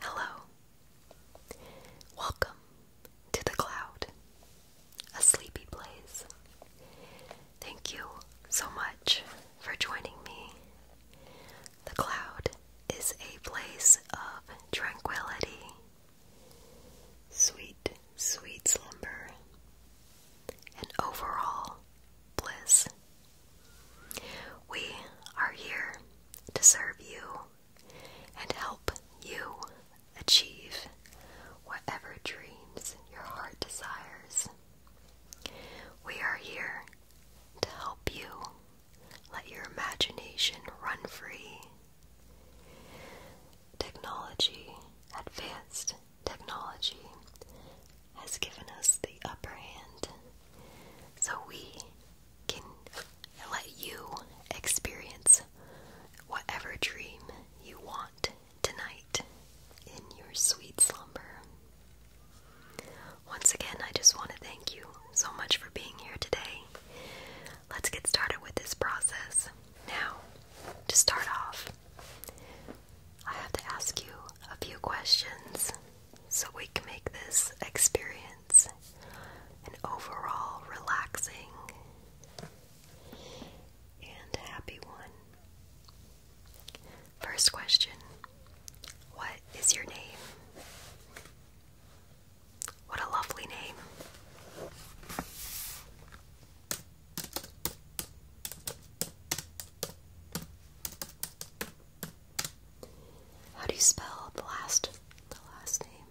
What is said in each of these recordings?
Hello. Welcome to the cloud, a sleepy place. Thank you so much for joining me. The cloud is a place of tranquility, sweet, sweet slumber, and overall bliss we are here to serve you and help you achieve whatever dreams your heart desires. We are here to help you let your imagination run free. Technology, advanced technology, has given us the upper hand, so we can let you experience whatever dream you want tonight in your sweet slumber. Once again, I just want to thank you so much for being here today. Let's get started with this process. Now, to start off, I have to ask you a few questions so we can make this experience an overall relaxing and happy one. First question What is your name? What a lovely name. How do you spell the last the last name?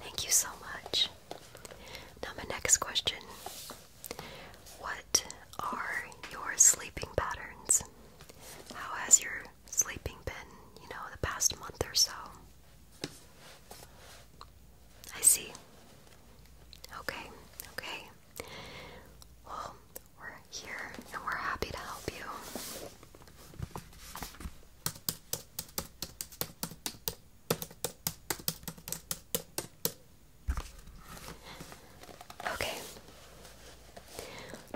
Thank you so much. Now my next question. What are your sleeping patterns? How has your sleeping been, you know, the past month or so? I see. Okay, okay. Well, we're here and we're happy to help you. Okay.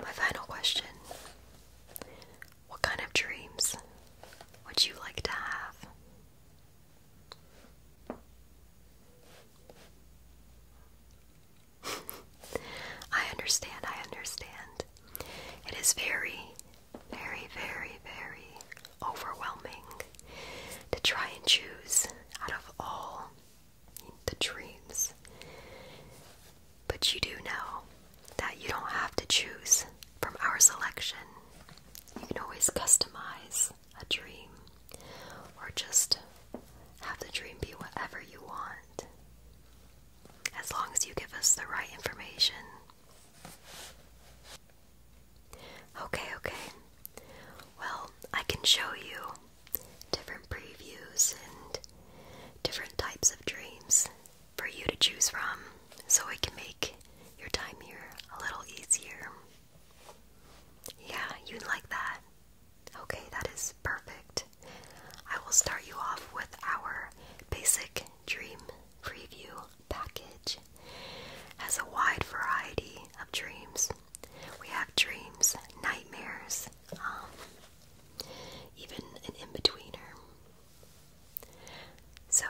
My final question. What kind of dreams would you like to have? I understand, I understand. It is very, very, very, very overwhelming to try and choose out of all the dreams. But you do know that you don't have to choose from our selection. You can always customize a dream, or just have the dream be whatever you want, as long as you give us the right information. Okay, okay. Well, I can show you different previews and different types of dreams for you to choose from so it can make your time here a little easier. Yeah, you'd like that. Okay, that is perfect. I will start you off with our basic dream preview package. Has a wide variety of dreams. We have dreams, nightmares, um, even an in-betweener. So,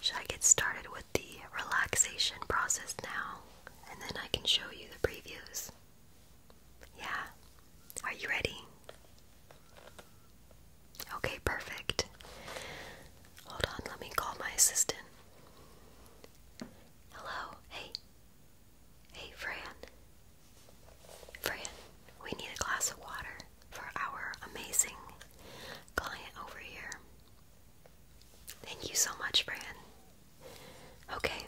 should I get started with the relaxation process now? and then I can show you the previews. Yeah. Are you ready? Okay, perfect. Hold on, let me call my assistant. Hello, hey. Hey, Fran. Fran, we need a glass of water for our amazing client over here. Thank you so much, Fran. Okay,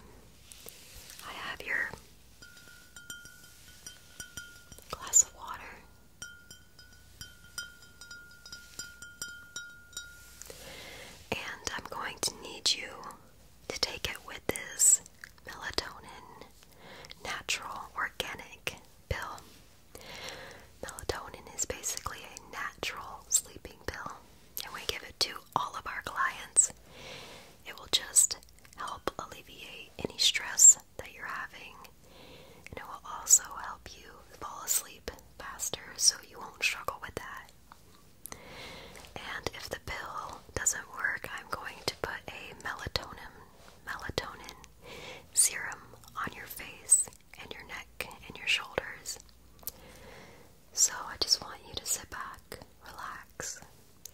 I have your glass of water. And I'm going to need you to take it with this melatonin natural organic pill. Melatonin is basically a natural sleeping pill, and we give it to all of our clients. It will just help alleviate any stress that you're having, and it will also help you fall asleep faster so you won't struggle with that. And if the pill doesn't work, I'm going to put a melatonin melatonin serum on your face and your neck and your shoulders. So I just want you to sit back, relax,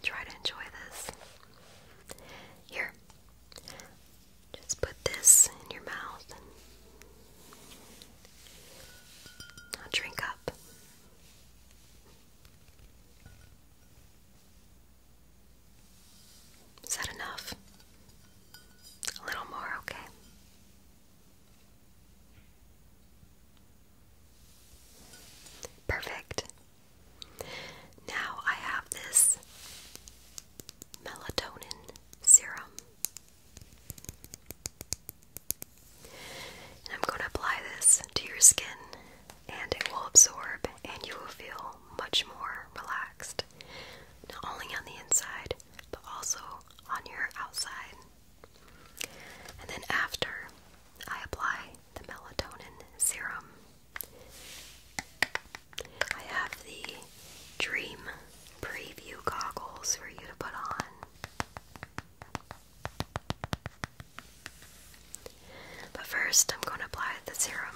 try to enjoy this. Here, just put this in your mouth and drink up. Is that enough? A little more, okay. Perfect. Now I have this melatonin serum. And I'm going to apply this to your skin and it will absorb and you will feel much more relaxed. Not only on the inside, but also on your outside. And then after, I apply the melatonin serum. I have the Dream Preview goggles for you to put on. But first, I'm going to apply the serum.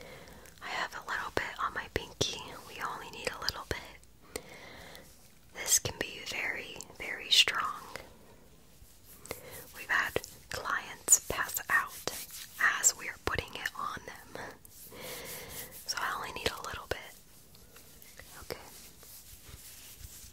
I have a little bit on my pinky. We only need a little bit. This can be very, very strong. We've had clients pass out as we're putting it on them. So I only need a little bit. Okay.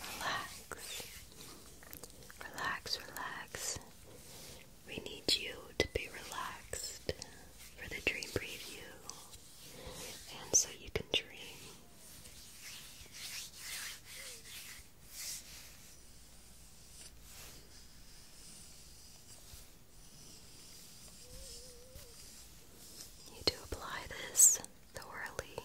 relax, relax, relax, relax. We need you to be relaxed for the dream preview, and so you can dream. You need apply this thoroughly.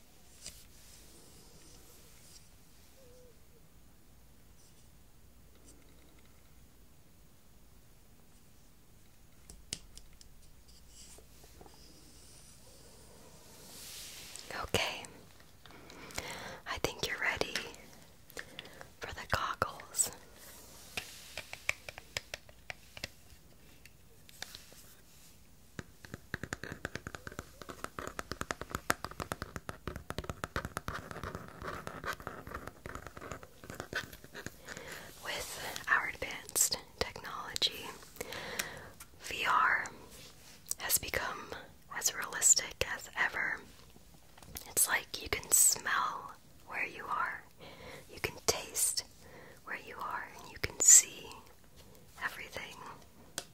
Okay, I think you're ready for the goggles. With our advanced technology, VR has become as realistic as ever. It's like you can smell where you are, you can taste where you are, and you can see everything.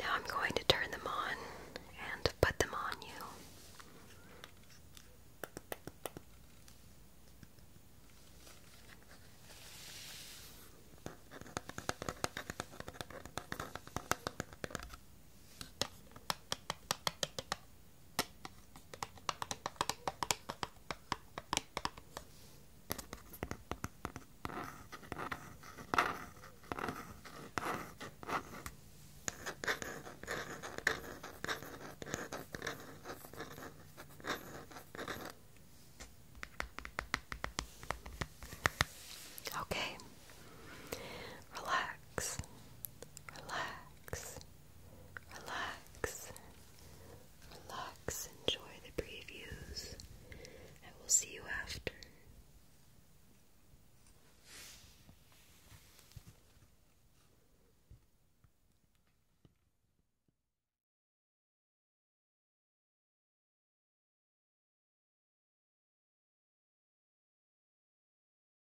Now I'm going to turn them on and put them on you. Okay. Relax. Relax. Relax. Relax, enjoy the previews. and we will see you after.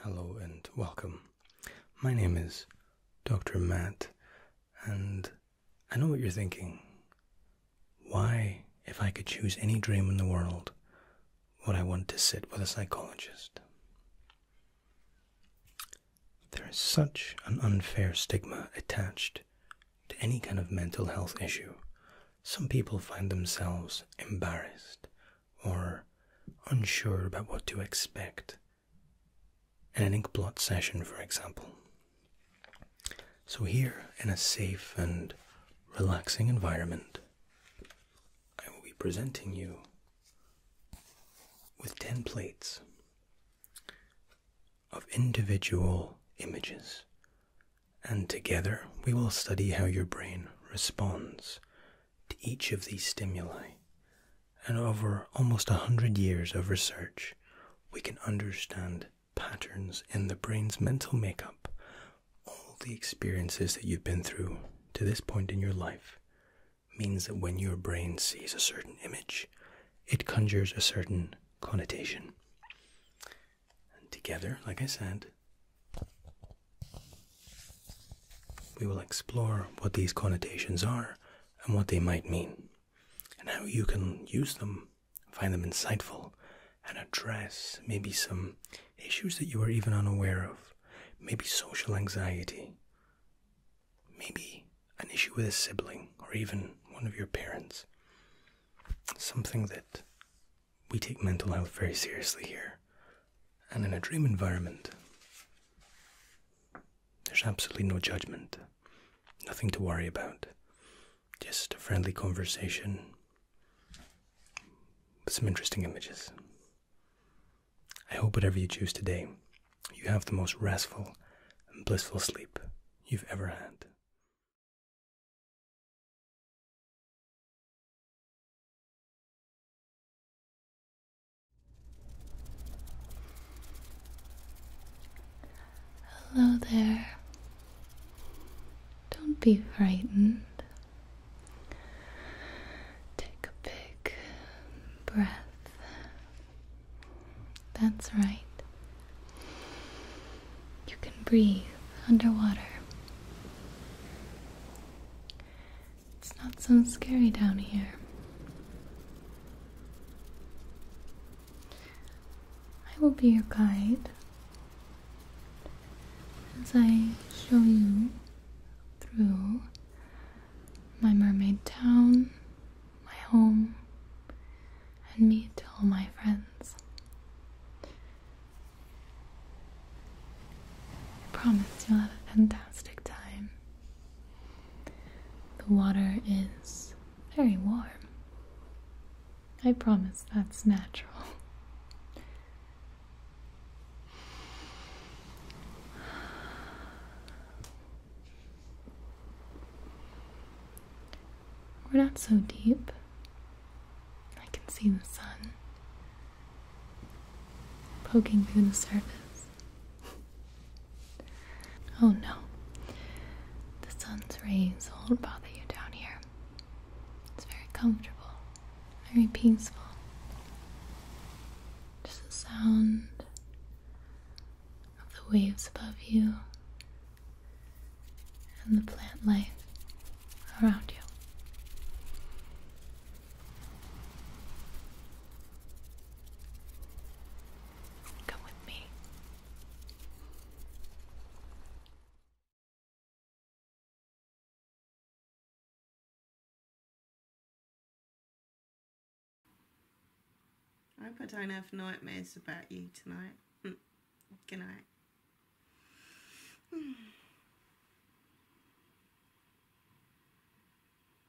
Hello and welcome. My name is Dr. Matt, and I know what you're thinking. Why, if I could choose any dream in the world, would I want to sit with a psychologist? There is such an unfair stigma attached to any kind of mental health issue. Some people find themselves embarrassed or unsure about what to expect in an inkblot session, for example. So, here in a safe and relaxing environment, I will be presenting you with 10 plates of individual images, and together we will study how your brain responds to each of these stimuli. And over almost a hundred years of research, we can understand patterns in the brain's mental makeup, all the experiences that you've been through to this point in your life. Means that when your brain sees a certain image, it conjures a certain connotation. And together, like I said, we will explore what these connotations are and what they might mean, and how you can use them, find them insightful, and address maybe some issues that you are even unaware of, maybe social anxiety, maybe an issue with a sibling or even one of your parents. Something that we take mental health very seriously here and in a dream environment, there's absolutely no judgment, nothing to worry about, just a friendly conversation with some interesting images. I hope whatever you choose today, you have the most restful and blissful sleep you've ever had. Hello there. Don't be frightened. Take a big breath. That's right. You can breathe underwater. It's not so scary down here. I will be your guide as I show you through my mermaid town, my home, and meet all my friends. I promise you'll have a fantastic time. The water is very warm. I promise that's natural. We're not so deep. I can see the sun poking through the surface. oh no, the sun's rays won't bother you down here. It's very comfortable, very peaceful. Just the sound of the waves above you and the plant life around you. Come with me. I I don't have nightmares about you tonight. Mm. Good night. Mm.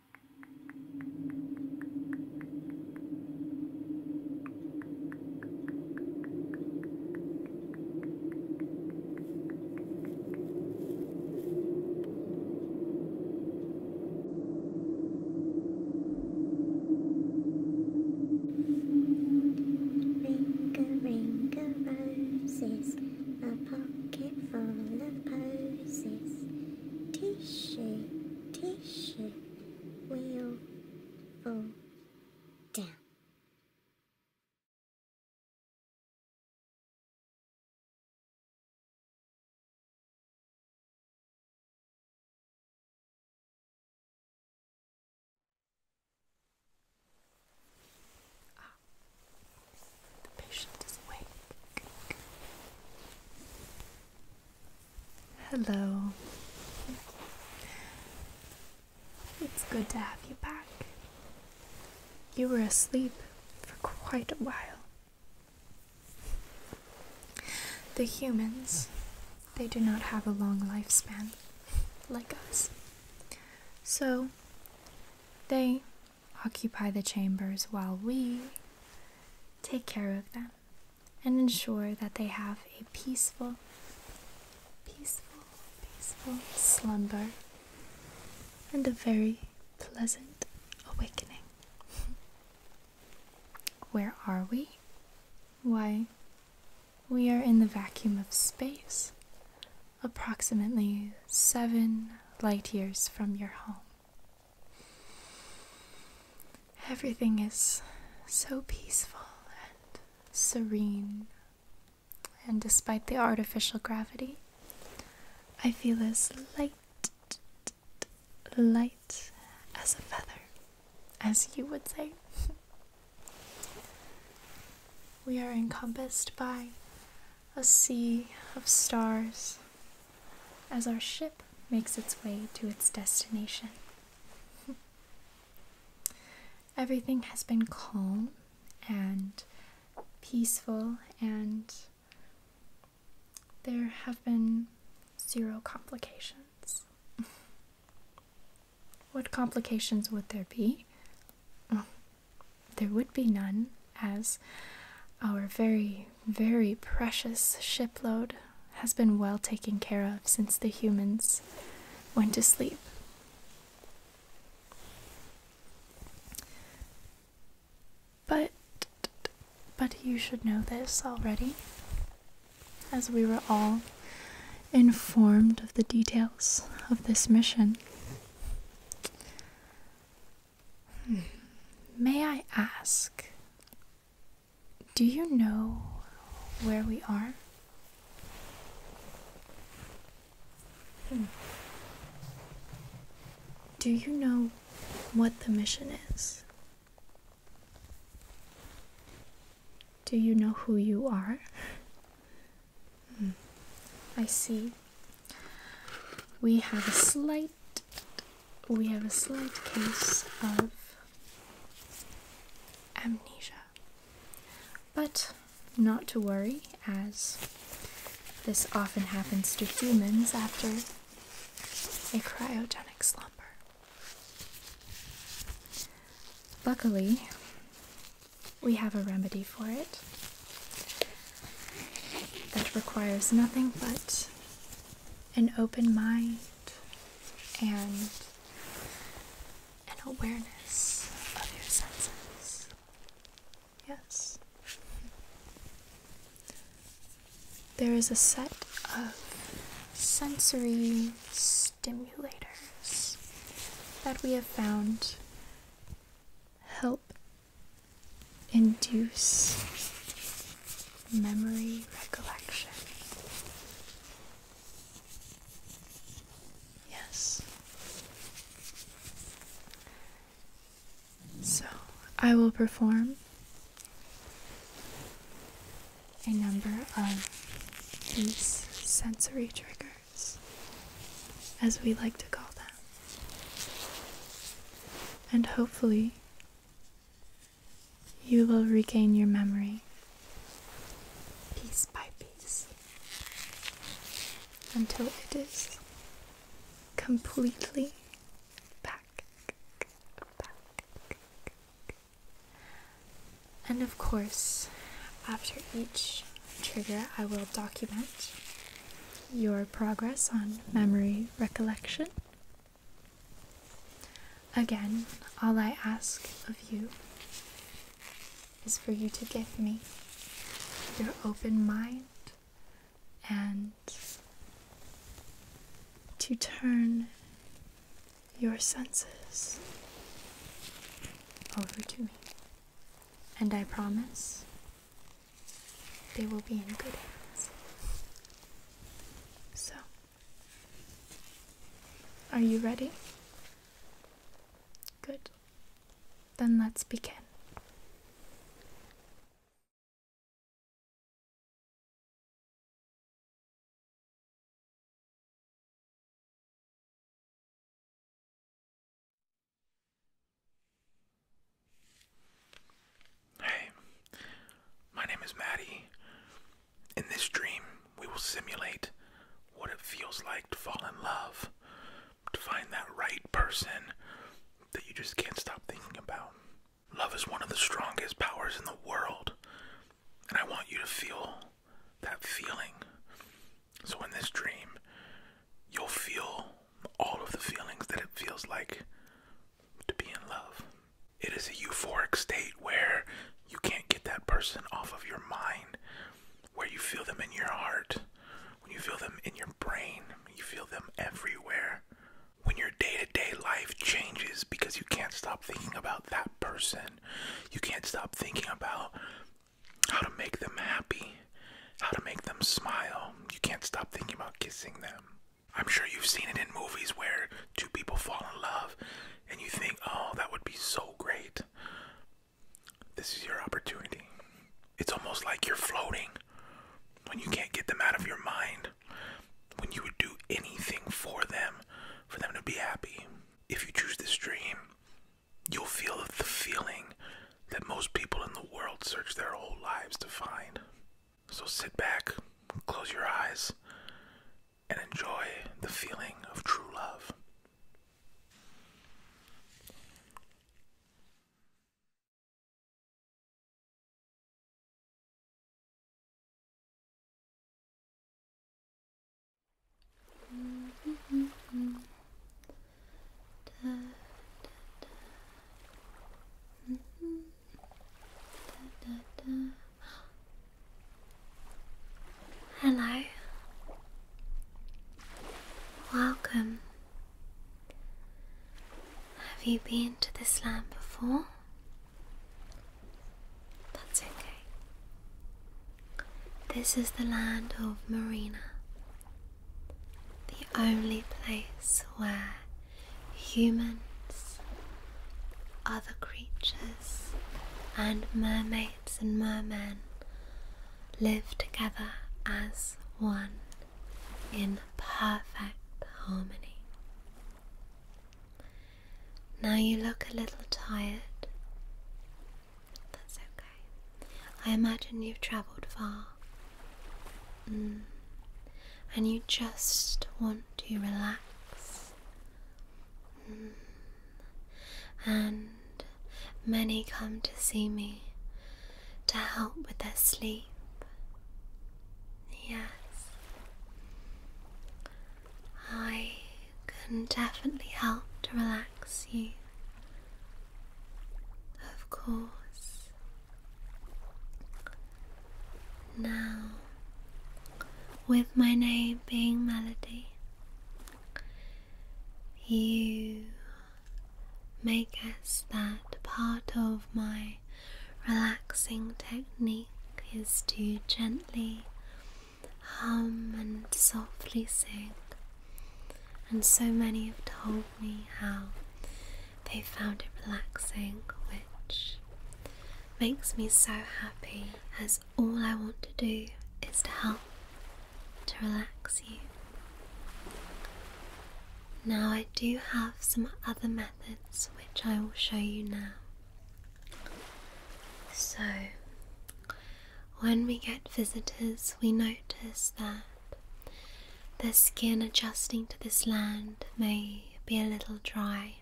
Ring a ring a roses, a pocket full of posies tissue, we will fall down. Up, the patient is awake. Hello. It's good to have you back. You were asleep for quite a while. The humans, they do not have a long lifespan like us. So, they occupy the chambers while we take care of them and ensure that they have a peaceful, peaceful, peaceful slumber and a very pleasant awakening. Where are we? Why, we are in the vacuum of space, approximately seven light years from your home. Everything is so peaceful and serene, and despite the artificial gravity, I feel as light, light as a feather, as you would say. we are encompassed by a sea of stars as our ship makes its way to its destination. Everything has been calm and peaceful, and there have been zero complications. what complications would there be? there would be none, as our very very precious shipload has been well taken care of since the humans went to sleep. But but you should know this already, as we were all informed of the details of this mission. Hmm. May I ask, do you know where we are? Hmm. Do you know what the mission is? Do you know who you are? Hmm. I see we have a slight we have a slight case of amnesia. But not to worry, as this often happens to humans after a cryogenic slumber. Luckily, we have a remedy for it, that requires nothing but an open mind and an awareness of your senses. Yes. There is a set of sensory stimulators that we have found help induce memory recollection. Yes. So I will perform a number of these sensory triggers, as we like to call them. And hopefully, you will regain your memory piece by piece until it is completely back. And of course, after each trigger, I will document your progress on memory recollection Again, all I ask of you is for you to give me your open mind and to turn your senses over to me. And I promise they will be in good hands. So, are you ready? Good. Then let's begin. Hey, my name is Maddie. In this dream, we will simulate what it feels like to fall in love, to find that right person that you just can't stop thinking about. Love is one of the strongest powers in the world, and I want you to feel that feeling. So, in this dream, you'll feel all of the feelings that it feels like to be in love. It is a euphoric state where you can't get that person off of your mind, where you feel them in your heart, when you feel them in your brain, you feel them everywhere. When your day to day life changes because you can't stop thinking about that person, you can't stop thinking about how to make them happy, how to make them smile, you can't stop thinking about kissing them. I'm sure you've seen it in movies where two people fall in love and you think, oh, that would be so great. This is your opportunity. It's almost like you're floating when you can't get them out of your mind, when you would do anything for them, for them to be happy. If you choose this dream, you'll feel the feeling that most people in the world search their whole lives to find. So sit back, close your eyes, and enjoy the feeling of true love. Mm-hmm. Hello. Welcome. Have you been to this land before? That's okay. This is the land of Marina, the only place where humans, other creatures, and mermaids and mermen live together as one in perfect harmony. Now you look a little tired. That's okay. I imagine you've travelled far. Mm. And you just want to relax. Mm. And many come to see me to help with their sleep. Yes. I can definitely help to relax you. Of course, now, with my name being Melody, you may guess that part of my relaxing technique is to gently hum and softly sing. And so many have told me how they found it relaxing, which makes me so happy as all I want to do is to help to relax you. Now, I do have some other methods which I will show you now. So, when we get visitors, we notice that their skin adjusting to this land may be a little dry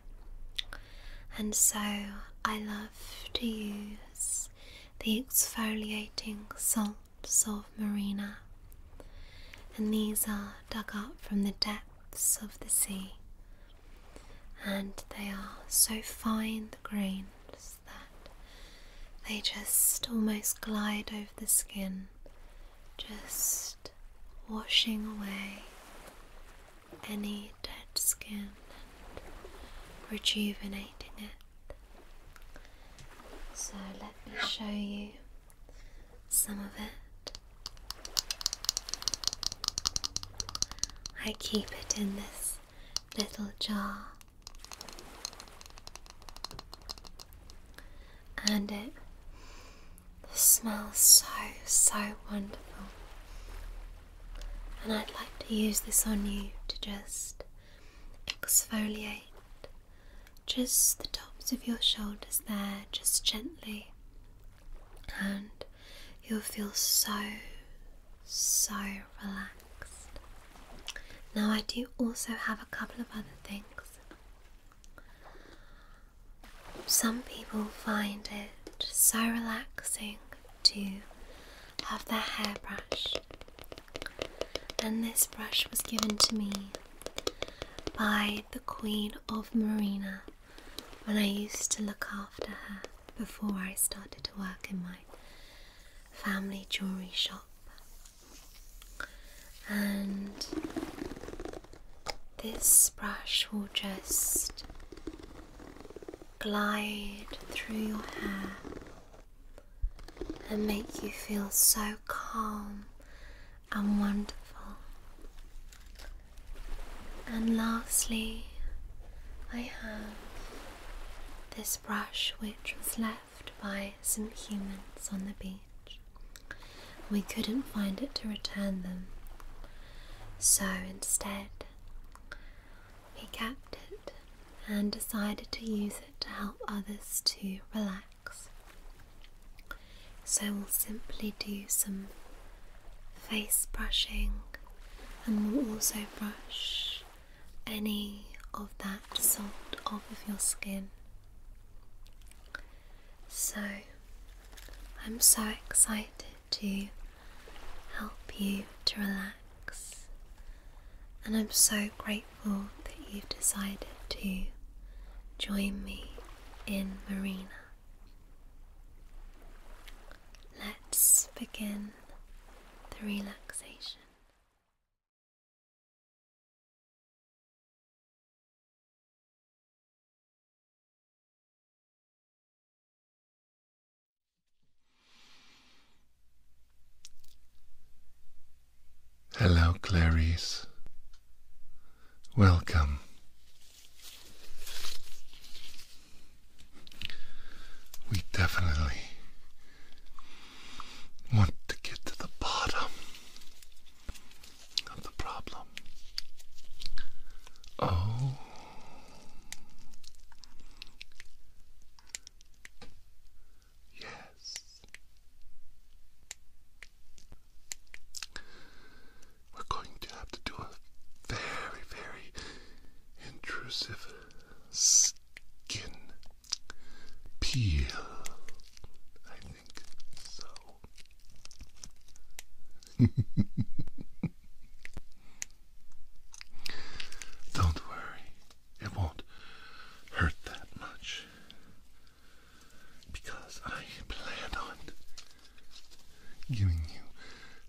and so I love to use the exfoliating salts of Marina, and these are dug up from the depths of the sea, and they are so fine the grains that they just almost glide over the skin just washing away any dead skin and rejuvenating it. So let me show you some of it. I keep it in this little jar. And it this smells so, so wonderful. And I'd like to use this on you to just exfoliate just the tops of your shoulders there, just gently. And you'll feel so, so relaxed. Now, I do also have a couple of other things some people find it so relaxing to have their hair brushed, and this brush was given to me by the Queen of Marina when I used to look after her before I started to work in my family jewellery shop. And this brush will just glide through your hair and make you feel so calm and wonderful. And lastly, I have this brush which was left by some humans on the beach. We couldn't find it to return them, so instead, we kept it and decided to use it to help others to relax. So we'll simply do some face brushing and we'll also brush any of that salt off of your skin. So I'm so excited to help you to relax, and I'm so grateful that you've decided to join me in Marina. Let's begin the relaxation. Hello, Clarice. Welcome. We definitely want to get to the bottom of the problem. Oh. Yes. We're going to have to do a very, very intrusive skin peel. I think so. Don't worry, it won't hurt that much because I plan on giving you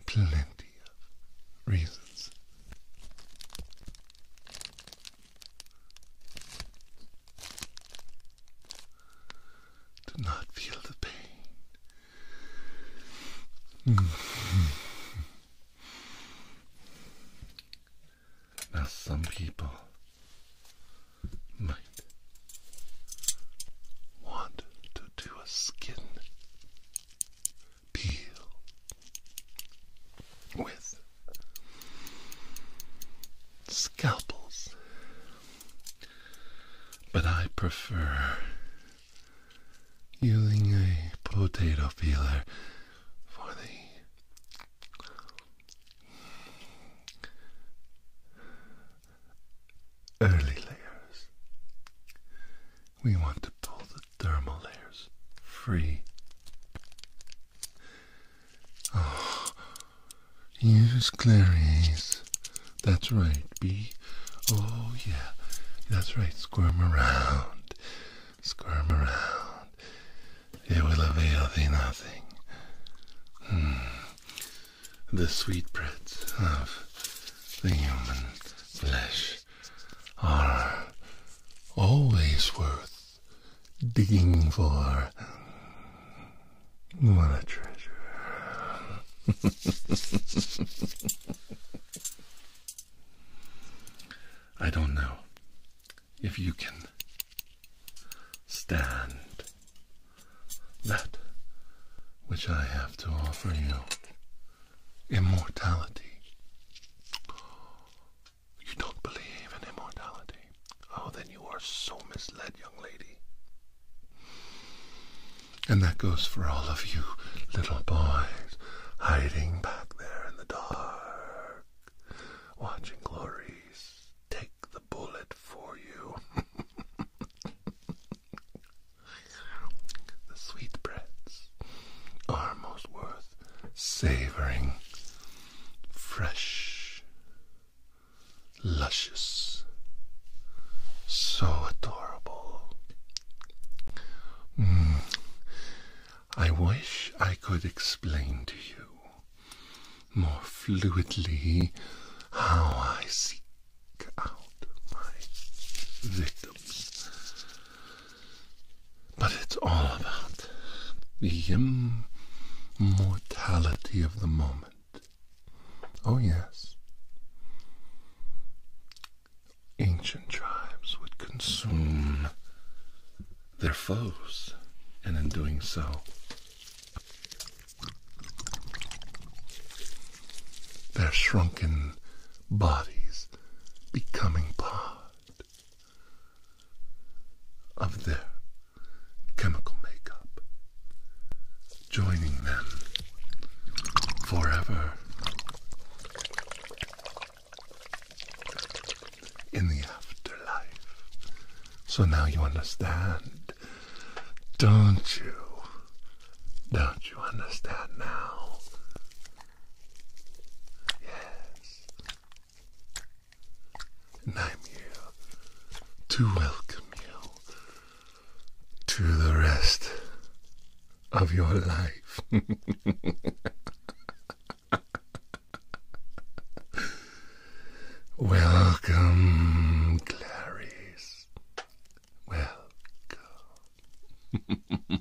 plenty of reasons. Do not feel the pain. now, some people might want to do a skin peel with scalpels but I prefer using a potato peeler for the early layers. We want to pull the dermal layers free. Oh, Use Clarice. That's right, B. Oh, yeah. That's right. Squirm around. Squirm around. It will avail thee nothing. Mm. The sweetbreads of the human flesh are always worth digging for. What a treasure. I don't know if you can stand that which I have to offer you immortality. You don't believe in immortality? Oh, then you are so misled, young lady. And that goes for all of you little boys hiding back there in the dark, watching glories take the bullet for you. the sweetbreads are most worth savoring fresh luscious, so adorable. Mm. I wish I could explain to you more fluidly how I seek out my victims. But it's all about the immortality of the moment. Oh, yes. Ancient tribes would consume their foes, and in doing so, their shrunken bodies becoming part of their chemical makeup joining them forever. In the afterlife. So now you understand, don't you? Don't you understand now? Yes. And I'm here to welcome you to the rest of your life. Welcome, Clarice. Welcome.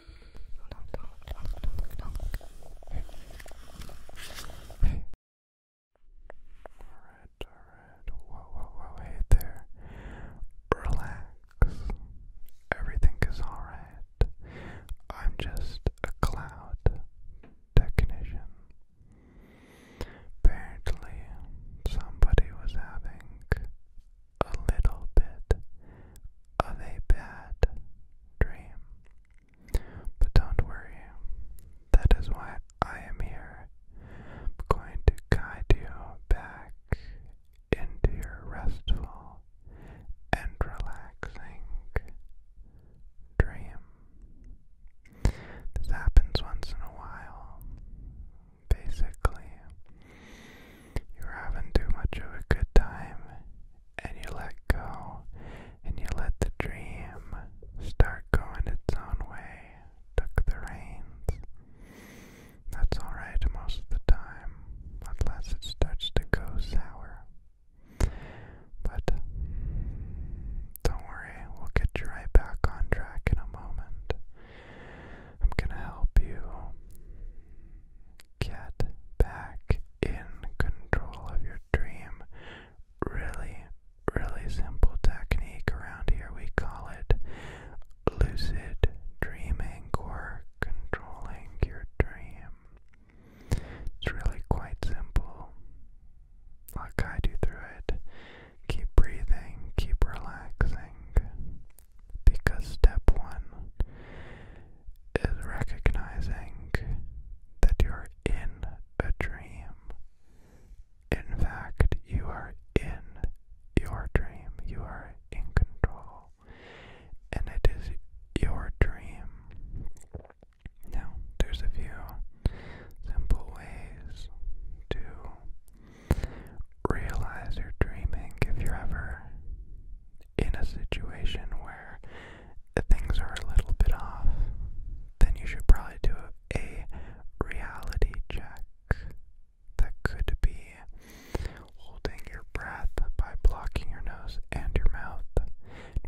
Alright, alright. Whoa, whoa, whoa, hey there. Relax. Everything is alright. I'm just a cloud technician. Apparently, somebody was having a little bit of a bad dream. But don't worry, that is why I am here. I'm going to guide you back into your restful and relaxing dream. This happens once in a while. Basically, you're having too much of a good time and you let go and you let the dream start going its own way, took the reins. That's alright most of the time, unless it starts to go sour. But don't worry, we'll get you right back on track in a moment. I'm gonna help you get back in control of your dream. Really, really simple technique around here. We call it lucid dreaming or controlling your dream. It's really quite simple. I'll guide you through it. Keep breathing, keep relaxing. Because step one is recognizing that you're in a dream. In fact, you are in your dream. You are in control. And it is your dream. Now, there's a few simple ways to realize you're dreaming if you ever in a situation where things are a little bit off, then you should probably do a reality check. That could be holding your breath by blocking your nose and your mouth.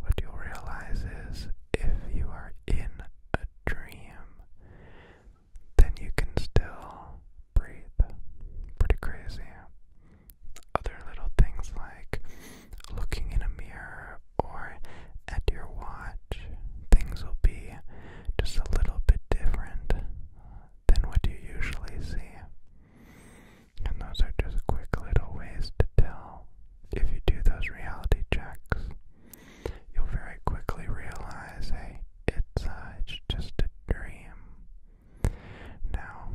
What you'll realize is if you are in a dream, then you can still breathe. Pretty crazy other little things like looking in a mirror or at your watch, things will be just a little bit different than what you usually see. And those are just quick little ways to tell. If you do those reality checks, you'll very quickly realize, hey, it's, uh, it's just a dream. Now,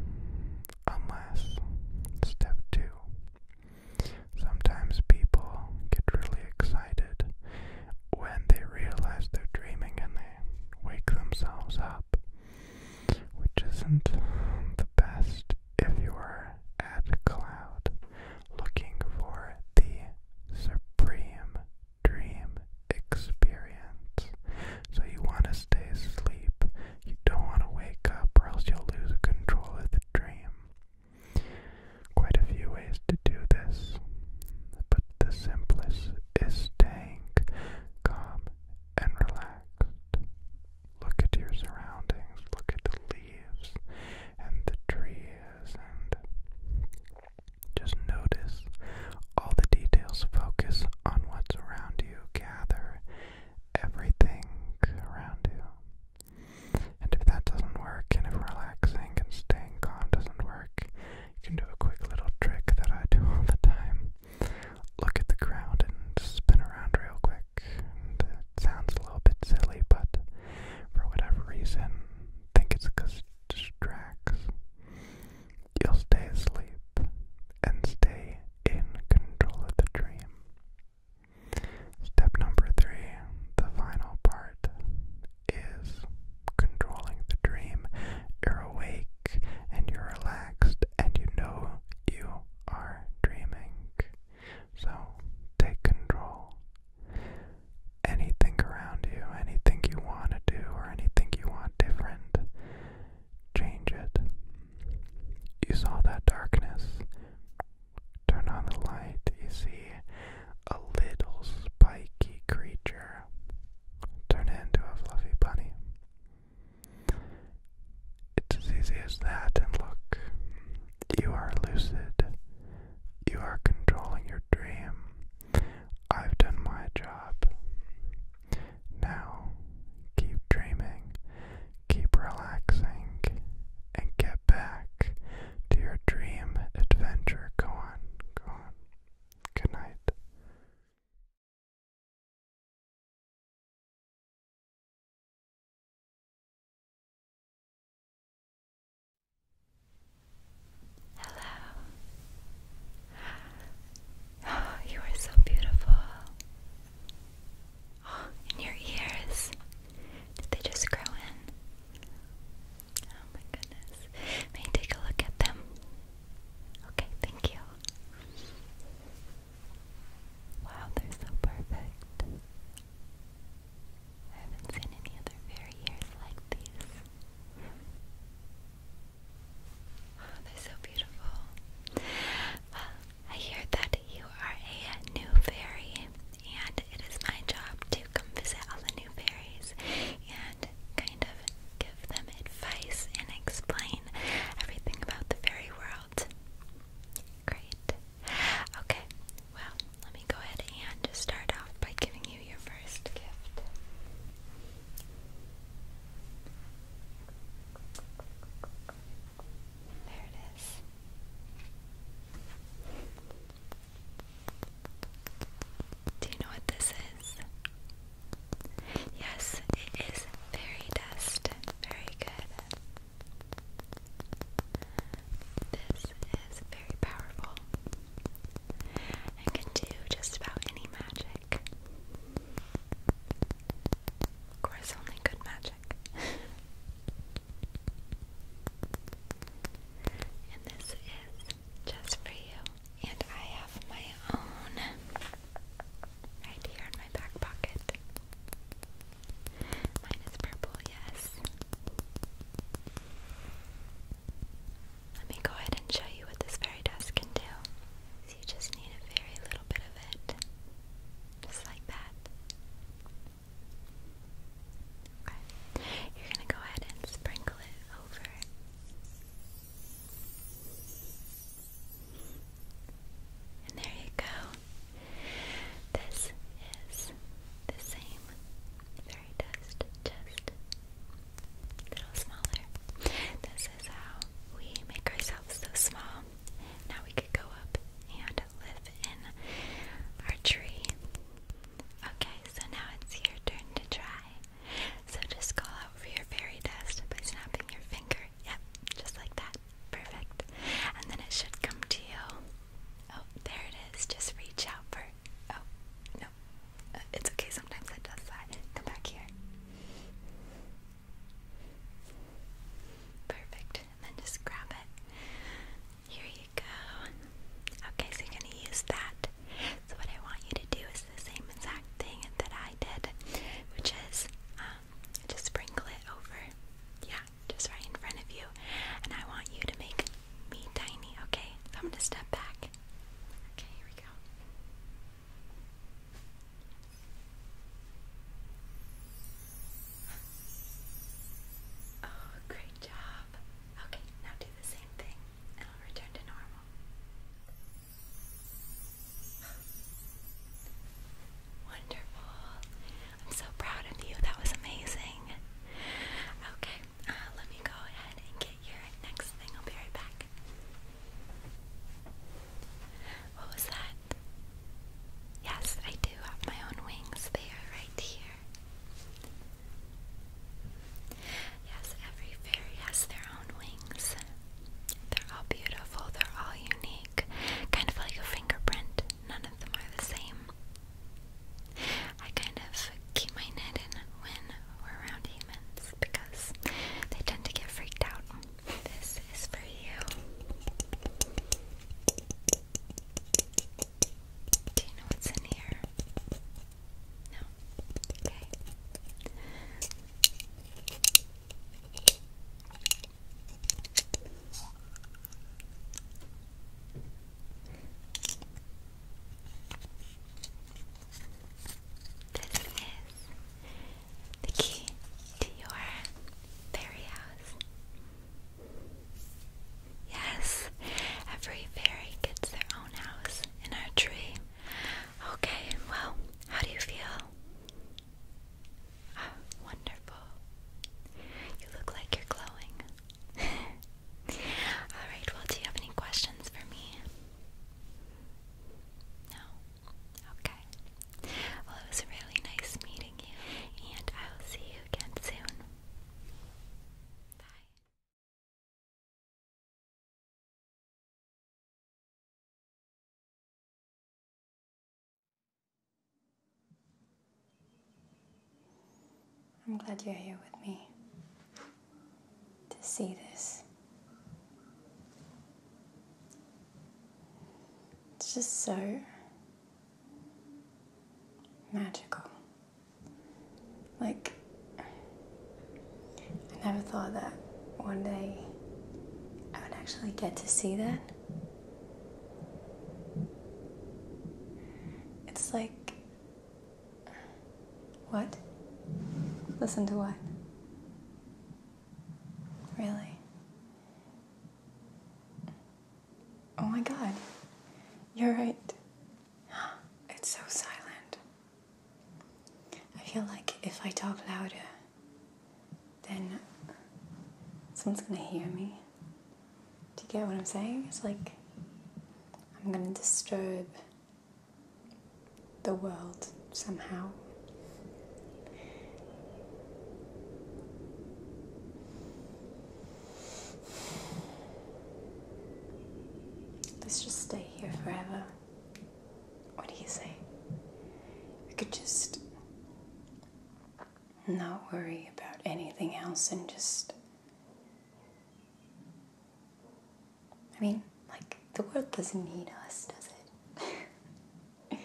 unless step two, sometimes people get really excited when they realize they're dreaming and they wake themselves up, which isn't the best if you are at cloud looking for the supreme dream experience. So you want to Stay asleep. You don't want to wake up or else you'll lose control of the dream. Quite a few ways to do this, but the simplest is staying calm and relaxed. Look at your surroundings, look at the leaves and the trees, and just notice all the details. Focus on what's around you, gather everything around you. And if that doesn't work, and if relaxing and staying calm doesn't work, you can do a quick little trick that I do all the time. Look at the ground and spin around real quick. And it sounds a little bit silly, but for whatever reason, I think it's because it distracts. You'll stay asleep and stay in control of the dream. Step number three, the final part, is controlling the dream. You're awake and you're relaxed and you know you are dreaming. So take control. Anything around you, anything you want to do, or anything you want different, change it. You saw that darkness. Turn on the light, you see a little spiky creature. Turn into a fluffy bunny. It's as easy as that, and look, you are lucid. You are controlling your dream. I've done my job. Now, keep dreaming, keep relaxing, and get back to your dream adventure. Go on, go on. Good night. Hello. Oh, you are so beautiful. in your ears. Did they just grow in? Oh my goodness. May I take a look at them? Okay, thank you. Wow, they're so perfect. I haven't seen any other fairy ears like these. they're so beautiful. I hear that you are a new fairy, and it is my job to come visit all the new fairies and kind of give them advice and explain everything about the fairy world. Great. Okay, well, let me go ahead and just start off by giving you your first gift. There it is. Do you know what this is? Yes, it is fairy dust. Very good. This is very powerful and can do just about any magic. Of course, only good magic. and this is just for you. And I have my own right here in my back pocket. Mine is purple, yes. Let me go ahead and show you what this fairy dust can do you just need a very little bit of it. Just like that. You're going to go ahead and sprinkle it over. And there you go. This is the same fairy dust, just a little smaller. This is how we make ourselves so small now we could go up and live in our tree. Okay, so now it's your turn to try. So just call out for your fairy dust by snapping your finger. Yep, just like that. Perfect. And then it should come to you. Oh, there it is. Just reach out for. Oh, no. Uh, it's okay. Sometimes it does that. Come back here. Perfect. And then just grab it. Here you go. Okay, so you're gonna use that. So what I want you to do is the same exact thing that I did, which is um, just sprinkle it over. Yeah, just right in front of you. And I want you to make me tiny. Okay, so I'm gonna step back. Okay, here we go. Oh, great job. Okay, now do the same thing and I'll return to normal. Wonderful. I'm so proud of you. That was amazing. Okay, uh, let me go ahead and get your next thing. I'll be right back. What was that? Yes, I do have my own wings. They are right here. Yes, every fairy has their own wings. They're all beautiful, they're all unique. Kind of like a fingerprint. None of them are the same. I kind of keep my head in when we're around humans because they tend to get freaked out. This is for you. Do you know what's in here? No. Okay. This the key to your fairy house. Yes, every fairy gets their own house in our tree. Okay, well, how do you feel? Ah, wonderful. You look like you're glowing. Alright, well, do you have any questions for me? No? Okay. Well, it was really nice meeting you, and I will see you again soon. Bye. I'm glad you're here with me to see this. It's just so magical. Like, I never thought that one day I would actually get to see that. It's like, what? Listen to what? Really? Oh my god, you're right. It's so silent. I feel like if I talk louder, then someone's gonna hear me. Do you get what I'm saying? It's like I'm gonna disturb the world somehow. Let's just stay here forever. What do you say? We could just not worry about anything else and just. I mean, like, the world doesn't need us, does it? we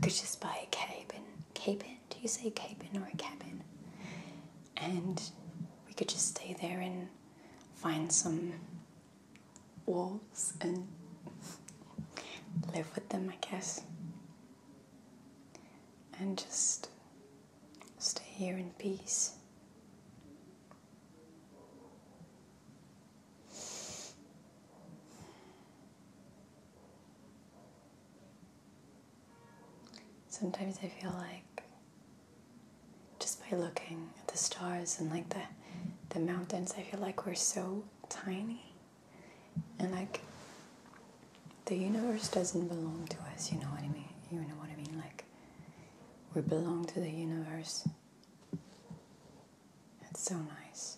could just buy a cabin. Cabin? Do you say cabin or a cabin? And we could just stay there and find some wolves and live with them, I guess. And just stay here in peace. Sometimes I feel like just by looking at the stars and like the, the mountains, I feel like we're so tiny and like the universe doesn't belong to us, you know what I mean? You know what I mean? Like we belong to the universe. It's so nice.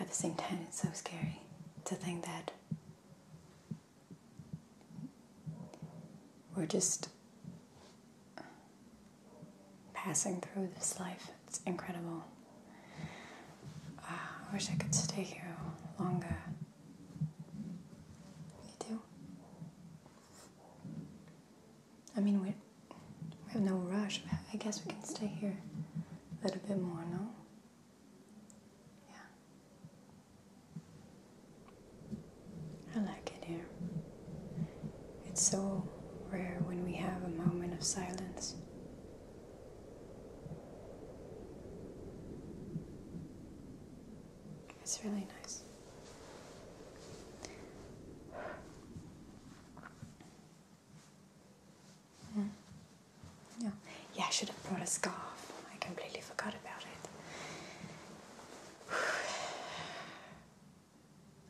At the same time, it's so scary to think that we're just passing through this life. It's incredible. Ah, I wish I could stay here longer. You do? I mean, we, we have no rush. I guess we can stay here a little bit more, no? Yeah. I like it here. It's so rare when we have a moment of silence. It's really nice. Yeah. yeah, I should have brought a scarf. I completely forgot about it.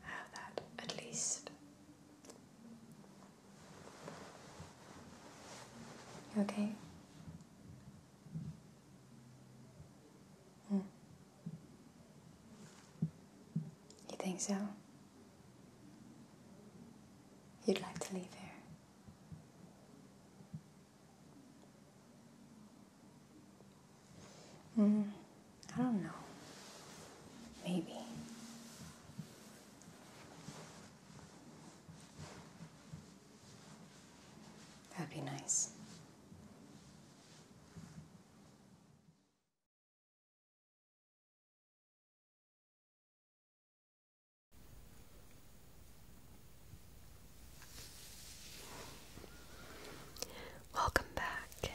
have that, at least. okay? Mm. You think so? you'd like to leave here. Mm, I don't know. Maybe. That'd be nice. Welcome back.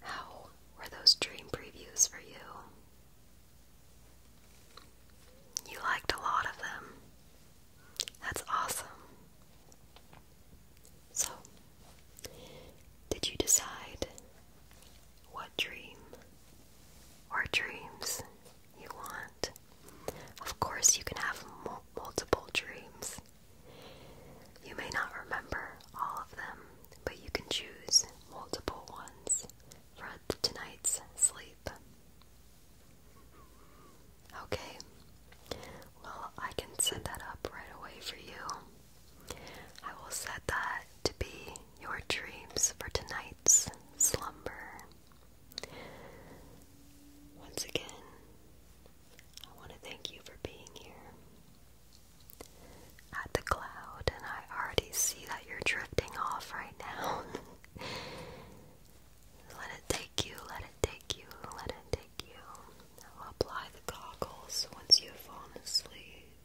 How were those dream previews for you? You liked a lot of them. That's awesome. So, did you decide what dream or dreams you want. Of course, you can have multiple dreams. You may not remember all of them, but you can choose multiple ones for tonight's sleep. Okay, well, I can set that up right away for you. I will set that to be your dreams for tonight's slumber. Once again, I want to thank you for being here. At the cloud, and I already see that you're drifting off right now. let it take you, let it take you, let it take you. Now apply the goggles once you've fallen asleep